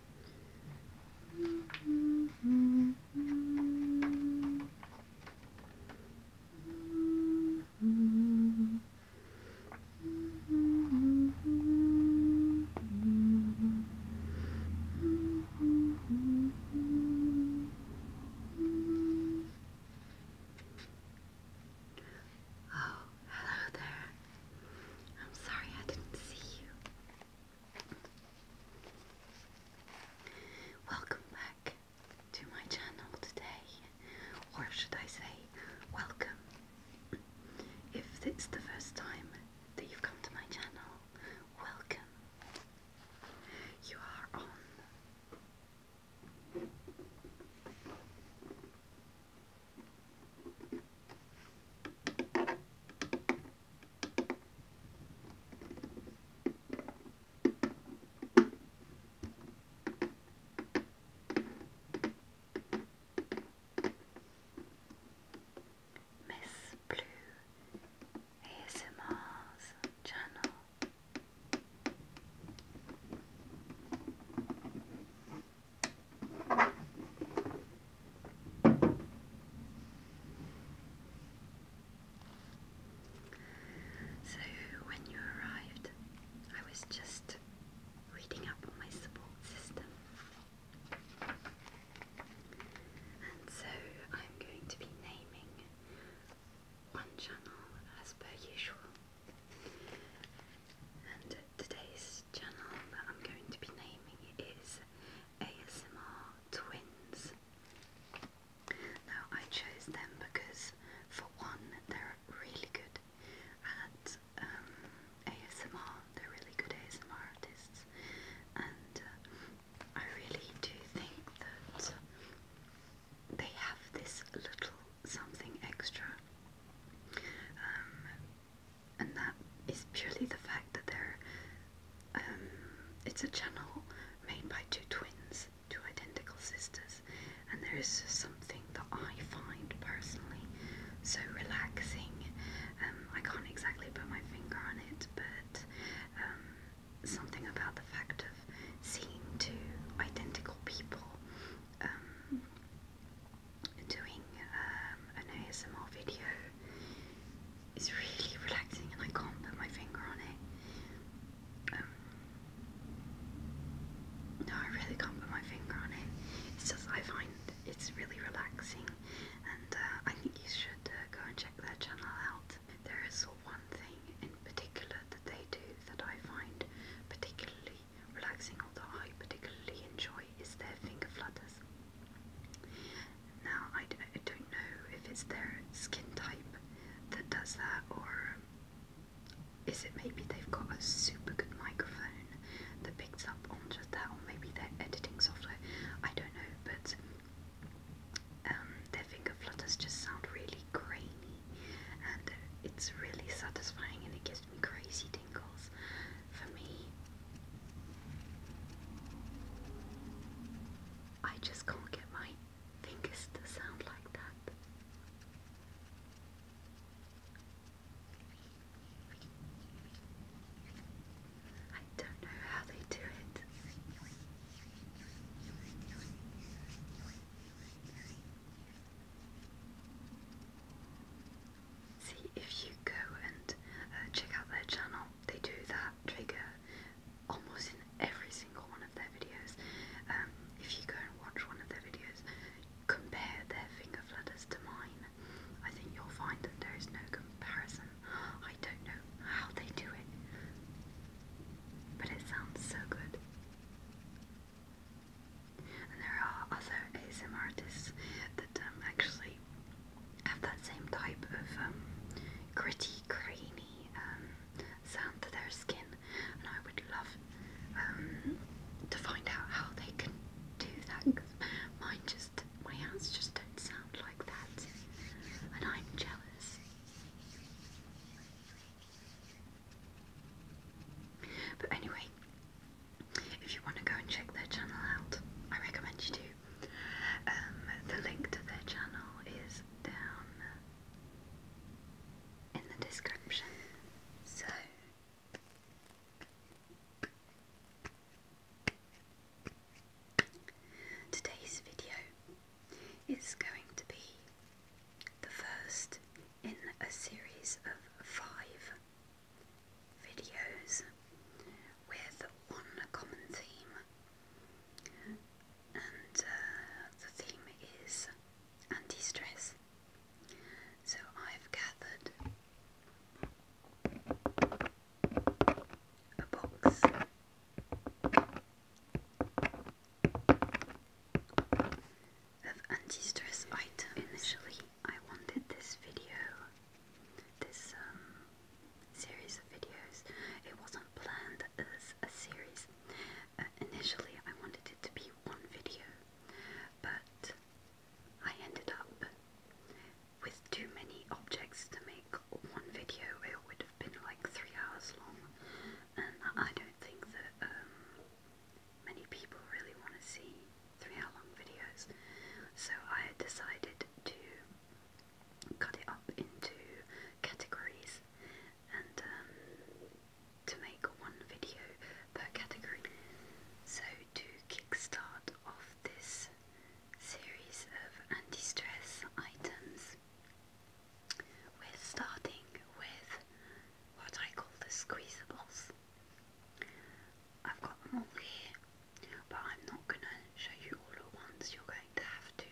Oh, hello there. I'm sorry I didn't see you. Welcome back to my channel today, or should I say, welcome. If it's the first time that you've come to my channel, welcome. You are on. Miss Blue ASMR's channel. So, when you arrived, I was just reading up on my support system. And so, I'm going to be naming one channel as per usual. And today's channel that I'm going to be naming is ASMR Twins. Now, I chose them because, for one, they're really good at um, ASMR, they're really good ASMR artists, and uh, I really do think that they have this little something extra um, and that is purely the fact that they're um, it's a channel made by two twins, two identical sisters, and there is something that I find personally so relaxing. Um, I can't exactly put my finger on it, but um, something about the fact of seeing two identical people doing um, an ASMR video is really relaxing and I can't put my finger on it. Um, no, I really can't put my finger on it. It's just I find it's really relaxing and uh, I think you should uh, go and check their channel out. There is one thing in particular that they do that I find particularly relaxing or that I particularly enjoy is their finger flutters. Now, I, I don't know if it's their skin type that does that, or is it maybe they've got a super good microphone that picks up on just that, or maybe their editing software? I don't know, but um, their finger flutters just sound really grainy and it's really satisfying and it gives crazy tinkles for me. I just can't get my fingers to sound like that. I don't know how they do it. See if you go and uh, check out their channel, they do that trigger almost in every single one of their videos. Um, if you go and watch one of their videos, compare their finger flutters to mine. I think you'll find that there is no comparison. I don't know how they do it, but it sounds so good. And there are other ASMR artists that um, actually have that same type of um, gritty, grainy um, sound to their skin, and I would love to find out how they can do that. Cause mine just, my hands just don't sound like that, and I'm jealous. But anyway, if you want to go and check their channel out, I recommend you do. Um, the link to their channel is down in the description. So, today's video is going to be the first in a series of five videos with one common theme, and uh, the theme is anti stress. So I've gathered a box. Of anti stress items. Initially, I wanted this video, this um, series of videos, it wasn't planned as a series. Uh, initially, I wanted it to be one video, but I ended up with too many objects to make one video. It would have been like three hours long, and I don't think that um, many people really want to see three hour long videos. So I decided to cut it up into categories and um, to make one video per category. So to kickstart off this series of anti-stress items, we're starting with what I call the squeezables. I've got them all here, but I'm not going to show you all at once. You're going to have to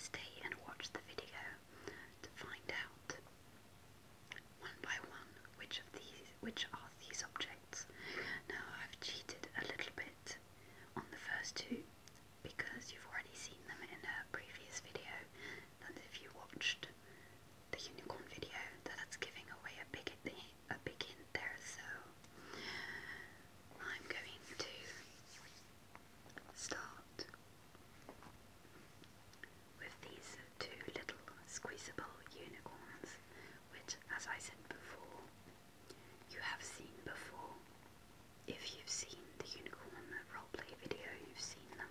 stay and watch the video to find out one by one which of these which are these objects. Now I've cheated a little bit on the first two because you've already seen them in a previous video and if you watched the unicorn video that's giving away a big hint a there, so I'm going to start with these two little squeezable unicorns, which, as I said before, you have seen before. If you've seen the unicorn roleplay video, you've seen them.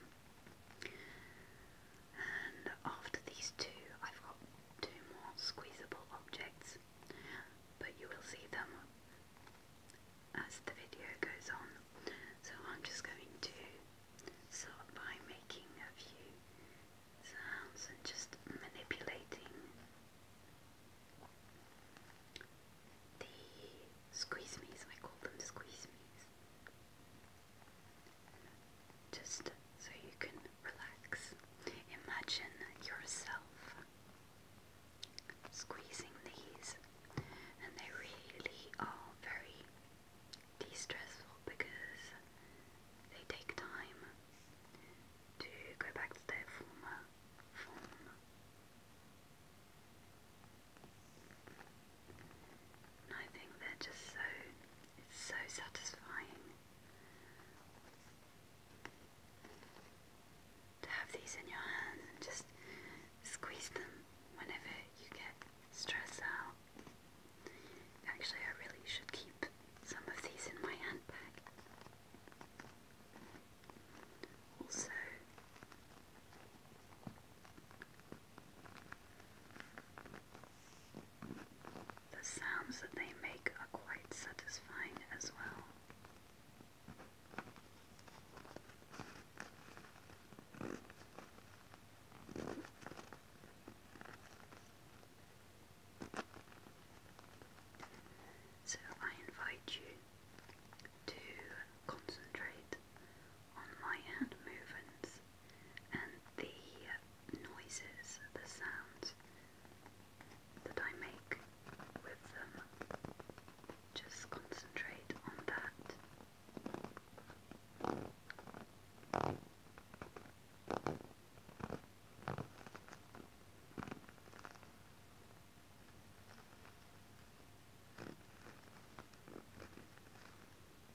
And after these two, I've got two more squeezable objects, but you will see them as the video goes on. So I'm just going to start by making a few sounds and just manipulating the squeeze me's. I call them squeeze me's. Just so you can relax. Imagine yourself squeezing these, and they really are very de stressful because they take time to go back to their former form. I think they're just so it's so satisfying to have these in your hands and just squeeze them whenever you get stressed out. Actually, I really should keep some of these in my handbag. Also, the sounds that they make are quite satisfying as well. So I invite you to concentrate on my hand movements and the noises, the sounds that I make with them. Just concentrate on that.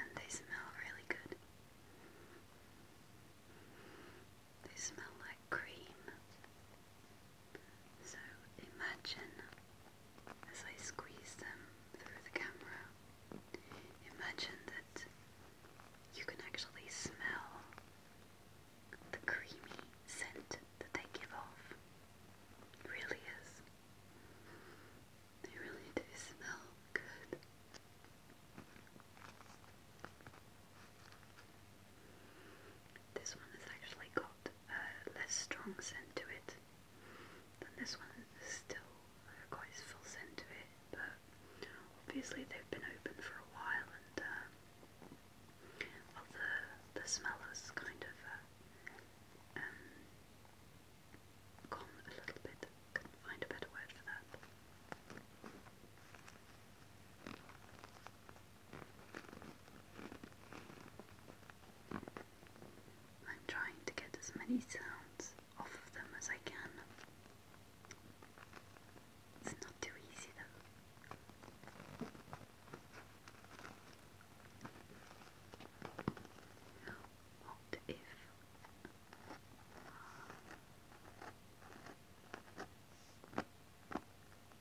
And they smell really good. They smell like cream. So imagine as I squeeze them through the camera. Imagine that you can actually smell the creamy scent that they give off. It really is. They really do smell good. This one has actually got a less strong scent to it. Then this one is still quite full scent to it, but obviously they've been open for a while and uh, well, the, the smell has kind of uh, um, gone a little bit. Couldn't find a better word for that. I'm trying to get as many sounds off of them as I can. It's not too easy though. What if uh,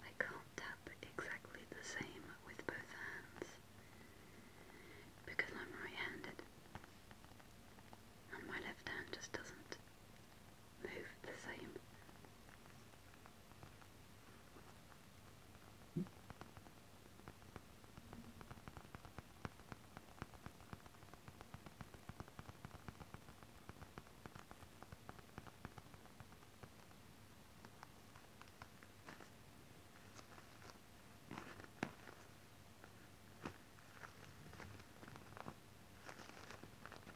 I can't tap exactly the same with both hands because I'm right handed and my left hand just doesn't Move the same.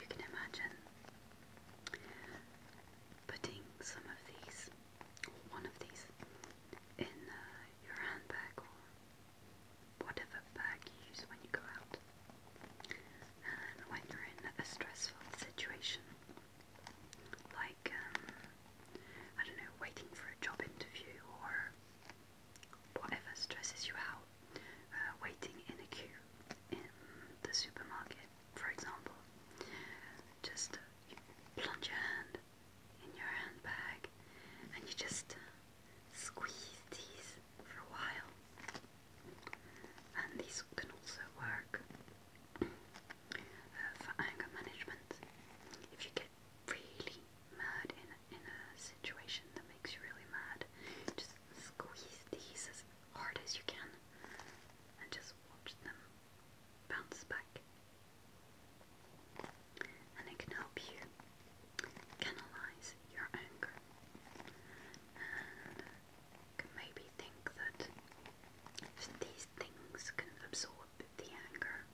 You can imagine putting some of these, one of these, in uh, your handbag or whatever bag you use when you go out. And when you're in a stressful situation, like, um, I don't know, waiting for a job interview or whatever stresses you out, uh, waiting in a queue in the supermarket, for example, just uh, you plunge your hand in your handbag and you just uh, squeeze these for a while. And these can also work uh, for anger management. If you get really mad in in a situation that makes you really mad, just squeeze these as hard as you can and just watch them bounce back. And it can help you canalize your anger can maybe think that these things can absorb the anger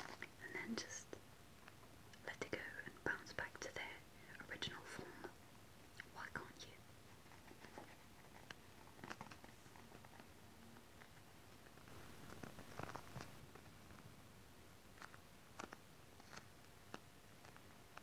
and then just let it go and bounce back to their original form. Why can't you?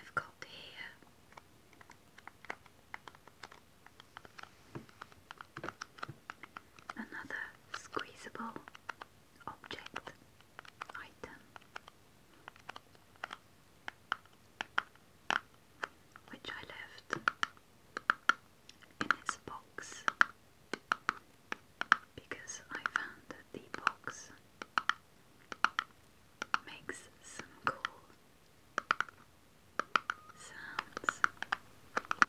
I've got here another squeezable object item which I left in its box because I found that the box makes some cool sounds. Now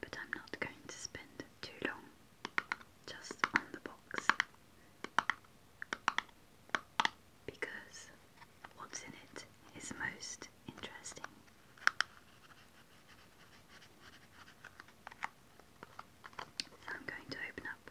but I'm not going to spend too long just on the box because what's in it is most interesting. I'm going to open up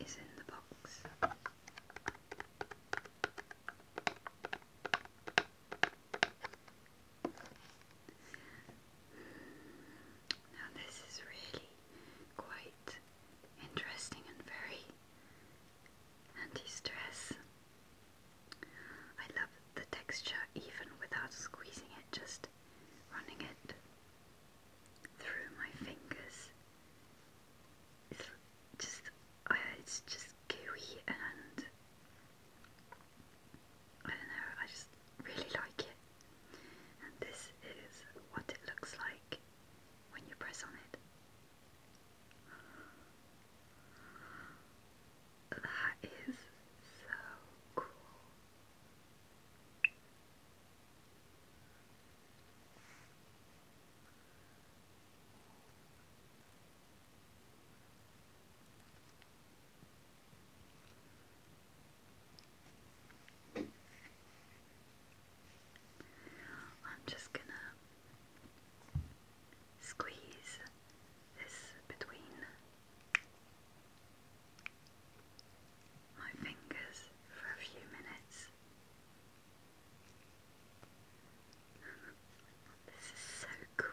is in the box. Now, this is really quite interesting and very anti stress. I love the texture even without squeezing it, just running it through my fingers. It's just, uh, it's just gooey and I don't know, I just really like it. And this is what it looks like when you press on it. That is so cool. I'm just gonna squeeze this between my fingers for a few minutes. This is so cool.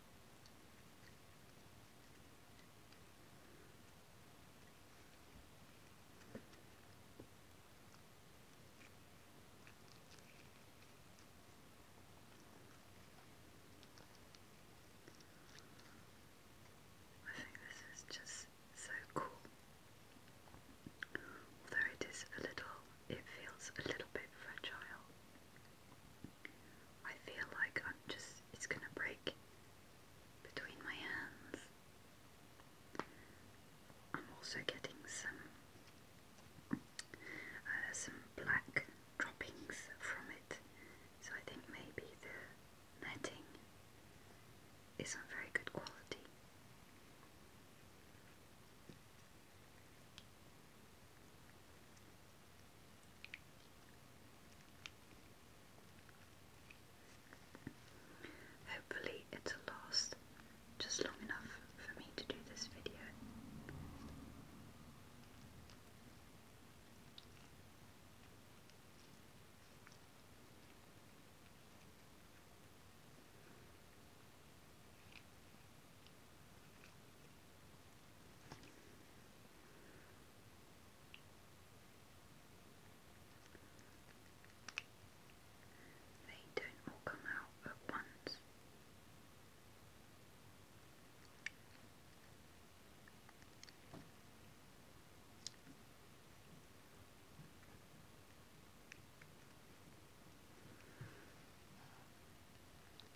I think this is just so cool. Although it is a little, it feels a little bit fragile. I feel like I'm just, it's gonna break between my hands. I'm also getting some, uh, some black droppings from it, so I think maybe the netting isn't very good quality. Hopefully, it'll last just long enough for me to do this video. They don't all come out at once.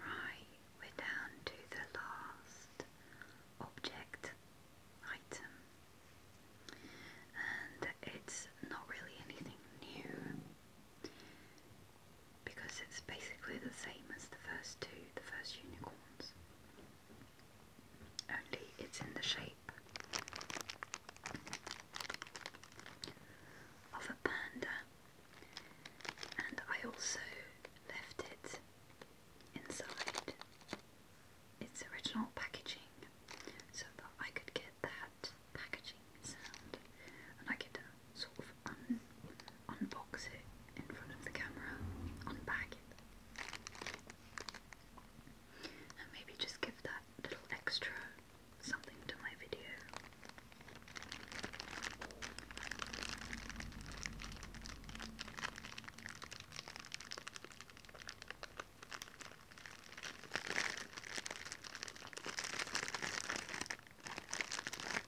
Right, we're down to the last object item, and it's not really anything new because it's basically the same as the first two, the first unicorns only it's in the shape of a panda, and I also left it inside its original packaging so that I could get that packaging sound and I could uh, sort of um, unbox it in front of the camera, unpack it, and maybe just give that little extra something to my video.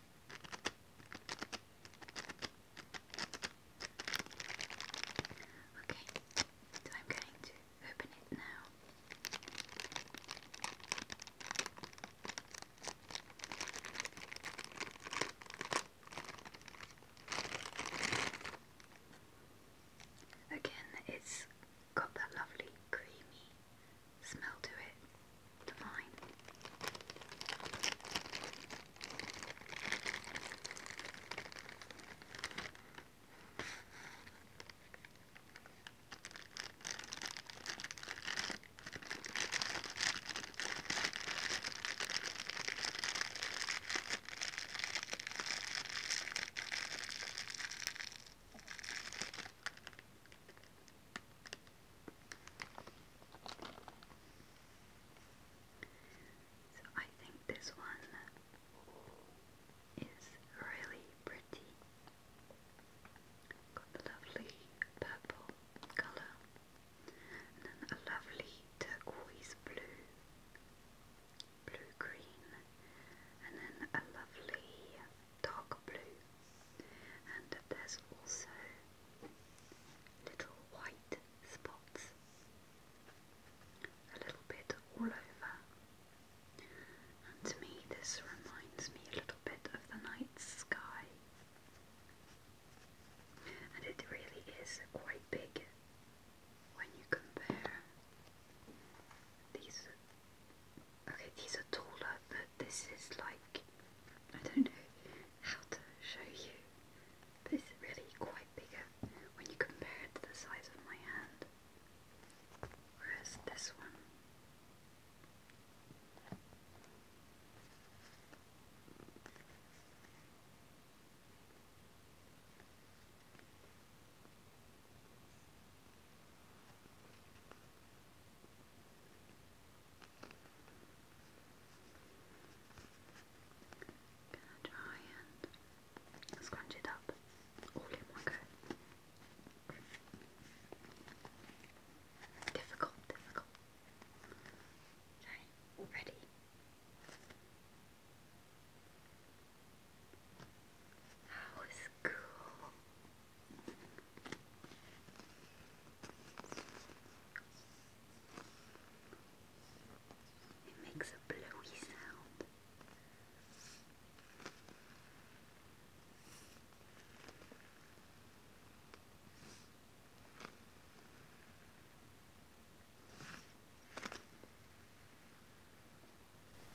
Okay, so I'm going to open it now. Again, it's got that lovely creamy smell to it, divine. So I think this one is really pretty. Got a lovely purple color then a lovely turquoise blue, blue green, and then a lovely dark blue, and there's also little white spots a little bit all over. And to me, this reminds me a little bit of the night sky, and it really is quite big when you compare these Okay, these are taller, but this is like I don't know how to show you. This is really quite bigger when you compare it to the size of my hand. Whereas this one Gonna try and scrunch it up all in one go. Difficult, difficult. ready. That was cool. It makes a blowy sound.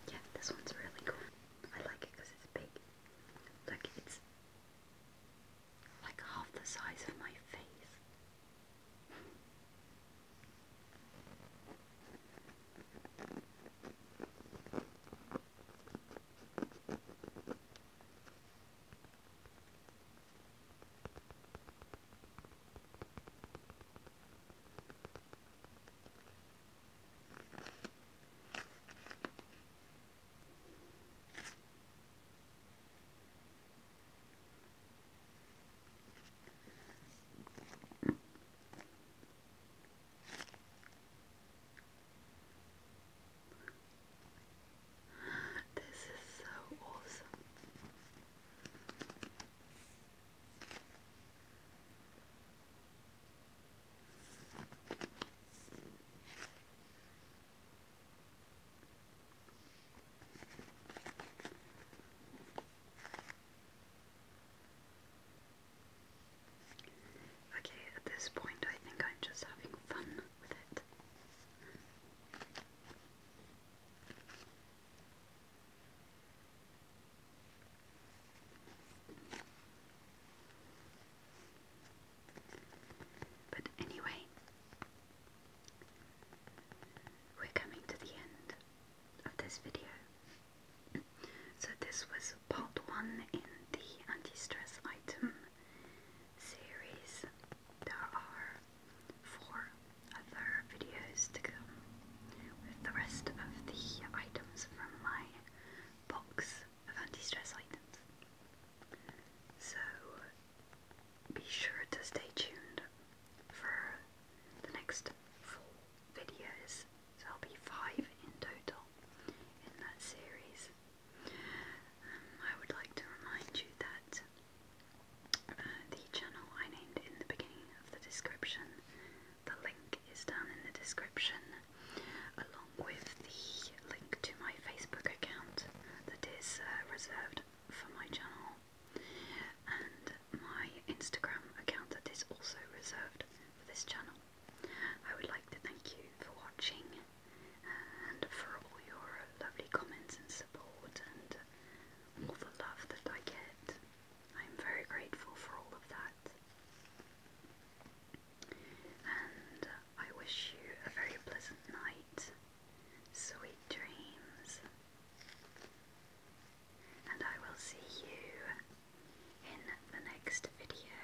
Yeah, this one's really cool. I like it because it's big. Like it's like half the size of my face. This is so awesome. Okay, at this point, I think I'm just having fun with it. But anyway, we're coming to the end of this video. So this was part one in the anti-stress item series. There are four other videos to come with the rest of the items from my box of anti-stress items. So be sure to stay tuned for the next four videos. So I'll be five in total in that series. Um, I would like to remind you that uh, the channel I named in the beginning of the description the link is down in the description, along with the link to my Facebook account that is uh, reserved for my channel, and my Instagram account that is also reserved for this channel. I would like to thank you for watching and for all your lovely comments and support and all the love that I get. I'm very grateful for all of that. And I wish you a very pleasant night, sweet dreams, and I will see you in the next video.